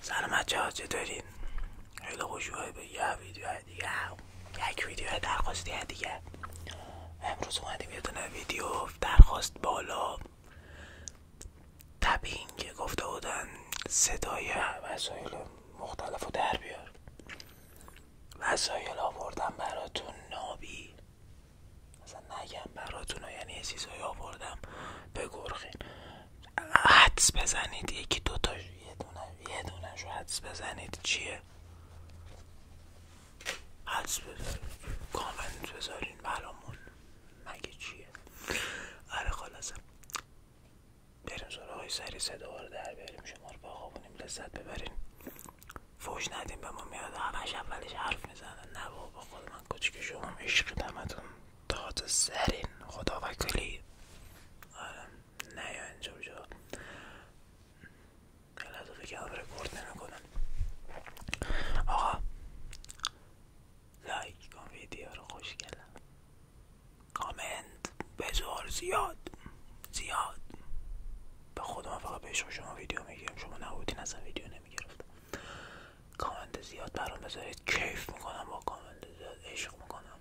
سلام بچه ها دارین؟ خیلی خوش به یه ویدیو دیگه یک ویدیو درخواستی دیگه امروز اومدیم یه دونه ویدیو درخواست بالا که گفته بودن صدای وسایل مختلف رو در بیار وسایل آوردم براتون نابی مثلا نگم براتون یعنی سیزای آوردم آوردم گرخین حدس بزنید یکی دوتا یه دونه یه دونه شو حدس بزنید چیه حدس بزنید کامنت بذارین برامون مگه چیه آره خلاصه بریم سراغ سری صدا رو در بریم شما رو بخوابونیم لذت ببرین فوش ندیم به ما میاد همش اولش حرف میزنن نه بابا خود من کوچیک شما عشق دمتون تات سرین خدا وکلی آره نه یا اینجور شد لحظه فکرم رپورت نمیکنن آقا لایک کن ویدیو رو خوشگلم کامنت بزار زیاد زیاد به خودم فقط بهش شما ویدیو میگیرم شما نبودین اصلا ویدیو نمیگرفتم کامنت زیاد برام بذارید کیف میکنم با کامنت زیاد عشق میکنم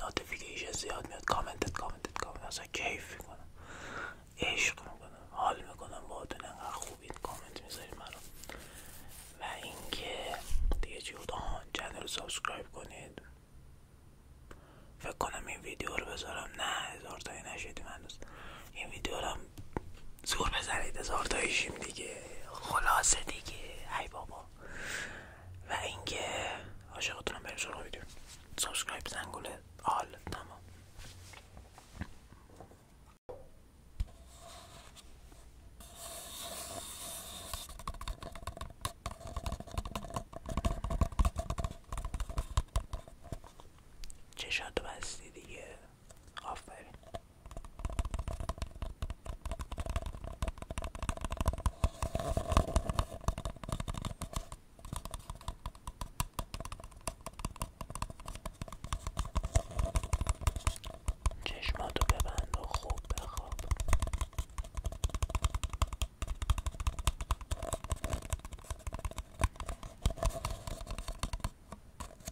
نوتیفیکیشن زیاد میاد کامنتت کامنتت کامنت اصلا کیف میکنم عشق میکنم حال میکنم با اتون انقدر خوبید کامنت میذارید مرا و اینکه دیگه چی بود سابسکرایب کنید فکر کنم این ویدیو رو بذارم نه هزار نشید نشدیم هنوز این ویدیو رو هم زور بزنید هزار دیگه خلاصه دیگه ای بابا و اینکه عاشقتونم بریم سراغ ویدیو سابسکرایب زنگوله آل تمام چشاتو بستی دیگه آفرین چشماتو ببند و خوب بخواب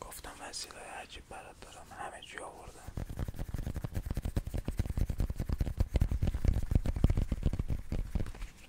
گفتم های عجیب برات دارم همه چی آوردم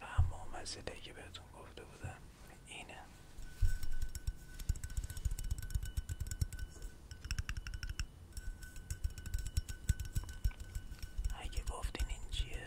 و اما مزیده که بهتون گفته بودم اینه اگه گفتین این چیه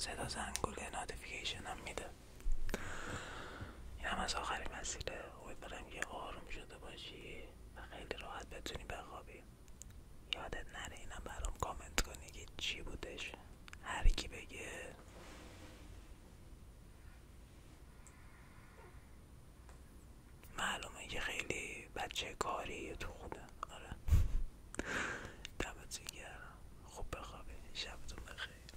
صدا زنگوله ناتیفیکیشن هم میده این هم از آخرین مسیله امیدوارم که آروم شده باشی و خیلی راحت بتونی بخوابی یادت نره اینم برام کامنت کنی که چی بودش هر کی بگه معلومه که خیلی بچه کاریه تو خودم آره دمتون گرم خوب بخوابی شبتون بخیر